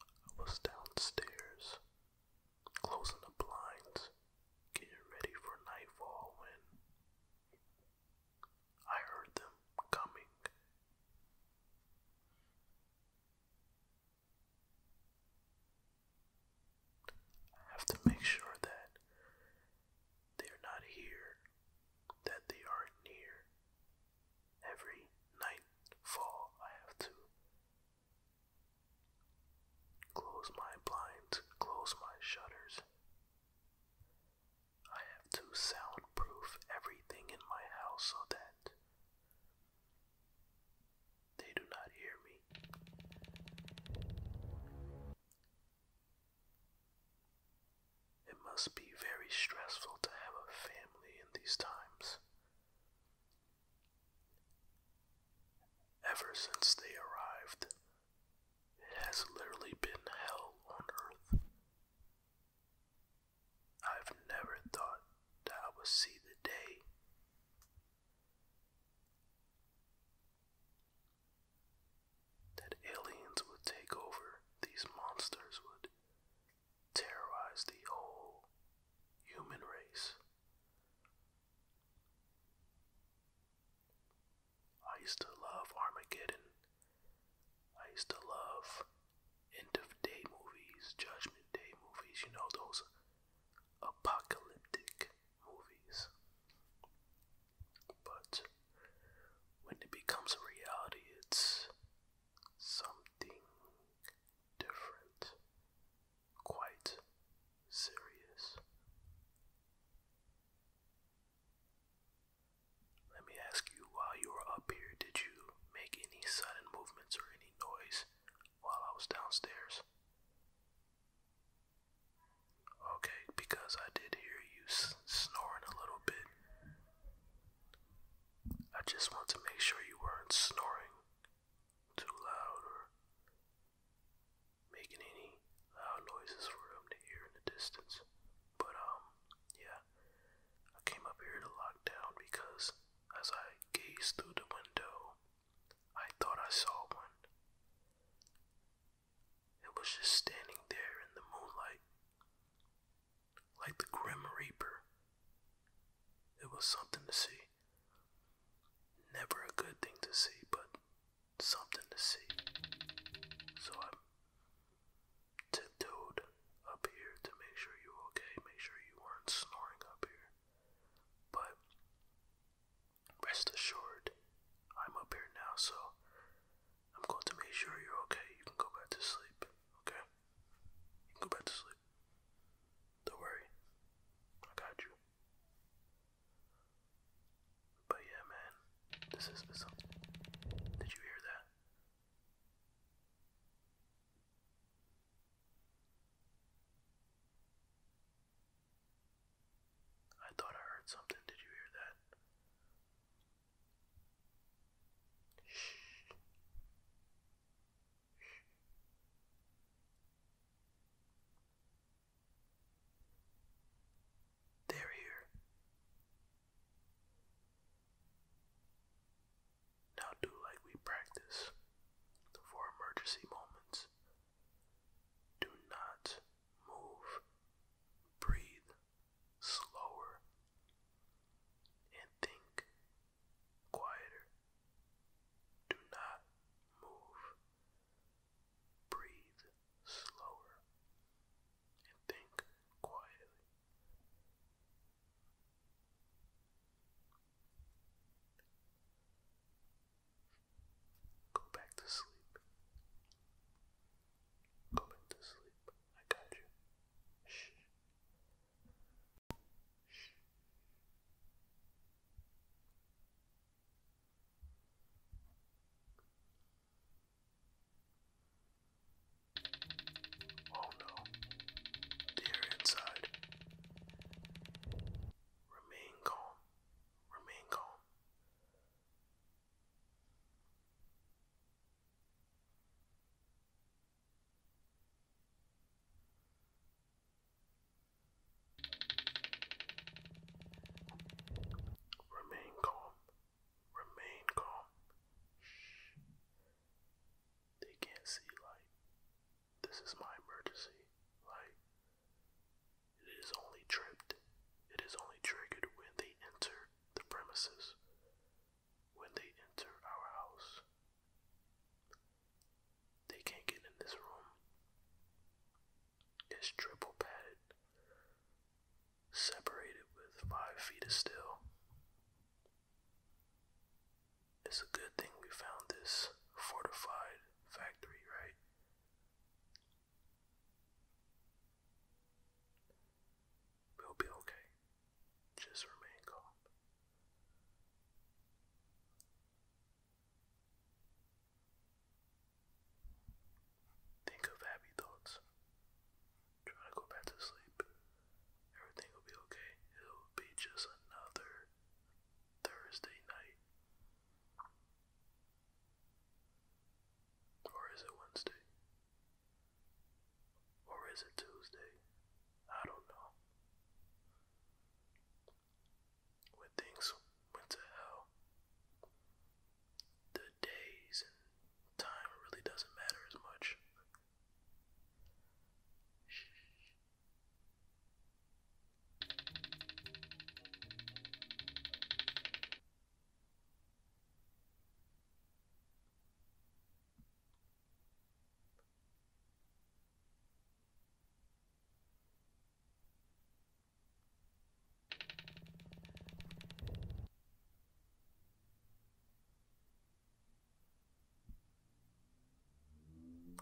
I was downstairs, closing the blinds, getting ready for nightfall when I heard them coming. I have to make sure that they are not here, that they are near, every nightfall I have to close my blinds, close my shutters. I have to soundproof everything in my house so that they do not hear me. It must be very stressful to have a family in these times. Ever since they arrived, it has literally been hell on earth. I've never thought that I would see the day. That aliens would take over, these monsters would terrorize the whole human race. I used to love Armageddon. I used to love end of day movies, judgment day movies, you know, those apocalyptic movies. But when it becomes a reality, it's something different, quite serious. Let me ask you while you were up here, did you make any sudden movements or any noise while I was downstairs? Okay, because I did hear you snoring a little bit. I just want to make sure you weren't snoring too loud or making any loud noises for him to hear in the distance. But, um, yeah, I came up here to lock down because as I gazed through the window, I thought I saw one. It was just standing there in the moonlight, like the Grim Reaper. It was something to see. Never a good thing to see, but something to see. So I tiptoed up here to make sure you are okay, make sure you weren't snoring up here. But rest assured, I'm up here now, so I'm going to make sure you're okay. You can go back to sleep, okay? You can go back to sleep. Don't worry. I got you. But yeah, man, this is this. Did you hear that? I thought I heard something. Did you hear that? They're here. Now do like we practice for emergency moments. Do not move. Breathe slower, and think quieter. Do not move. Breathe slower and think quietly. Go back to sleep. Go to sleep. I got you. Shh. Shh. Oh no. Deer inside. Remain calm. Remain calm. Remain calm. Remain calm. Shh. They can't see light. This is my emergency light. It is only tripped. It is only triggered when they enter the premises when they enter our house. They can't get in this room. It's triple padded, separated with five feet of steel. It's a good thing we found this fortified factory, right? We'll be okay. Just remain calm. Think of happy thoughts. Try to go back to sleep. Everything will be okay. It'll be just another Thursday night. Or is it Wednesday? Or is it Tuesday? I don't know. When things went to hell, the days and time really doesn't matter as much.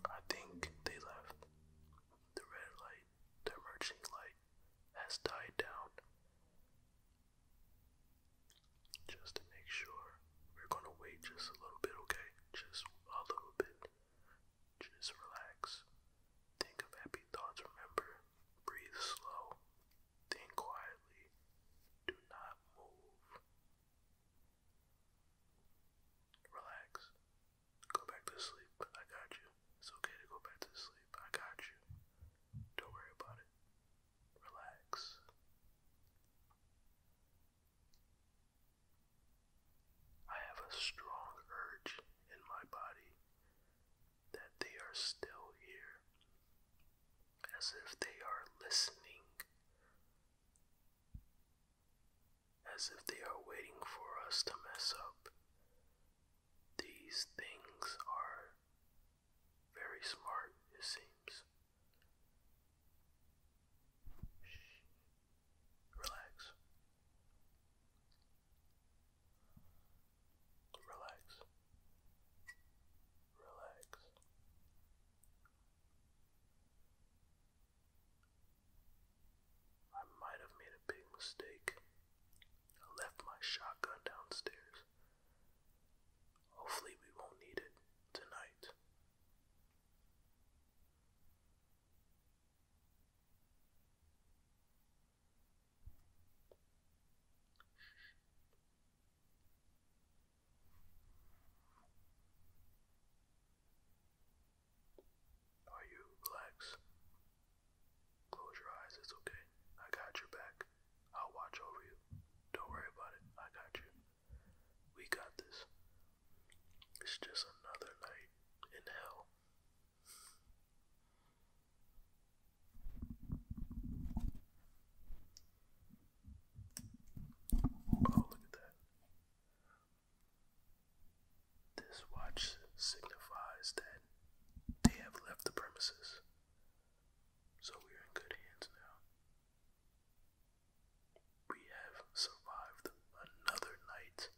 I think they left. The red light, the emerging light, has died down. Just to make sure, we're gonna wait just a little bit, okay? Just a little bit. Just relax. Think of happy thoughts, remember. Breathe slow. Think quietly. Do not move. Relax. Go back to sleep. I got you. It's okay to go back to sleep. I got you. Don't worry about it relax. I have a strong urge in my body that they are still here, as if they are listening, as if they are waiting for us to mess up. These things are very smart, it seems. Shh. Relax. Relax. Relax. I might have made a big mistake. I left my shotgun downstairs. Hopefully, we won't need it tonight. Are you relaxed? Close your eyes, it's okay. I got your back. I'll watch over you. Don't worry about it. I got you. We got this. It's just another night in hell. Oh, look at that. This watch signifies that they have left the premises. So we are in good hands now. We have survived another night.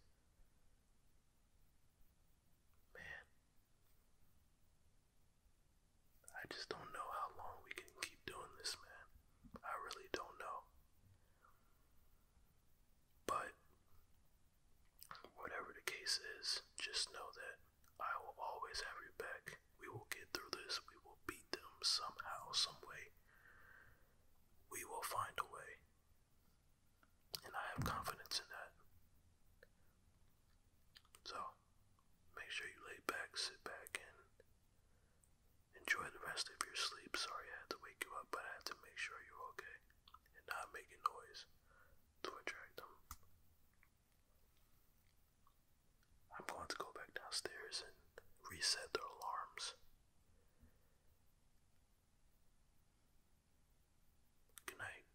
Man, I just don't know how long we can keep doing this, man. I really don't know. But whatever the case is, just know that I will always have you back. We will get through this. We will beat them somehow, some way. We will find a way. And I have confidence in that. So, make sure you lay back, sit back, and enjoy the rest of your sleep. Sorry I had to wake you up, but I had to make sure you're okay and not making noise to attract them. I'm going to go back downstairs and reset their alarms. Good night.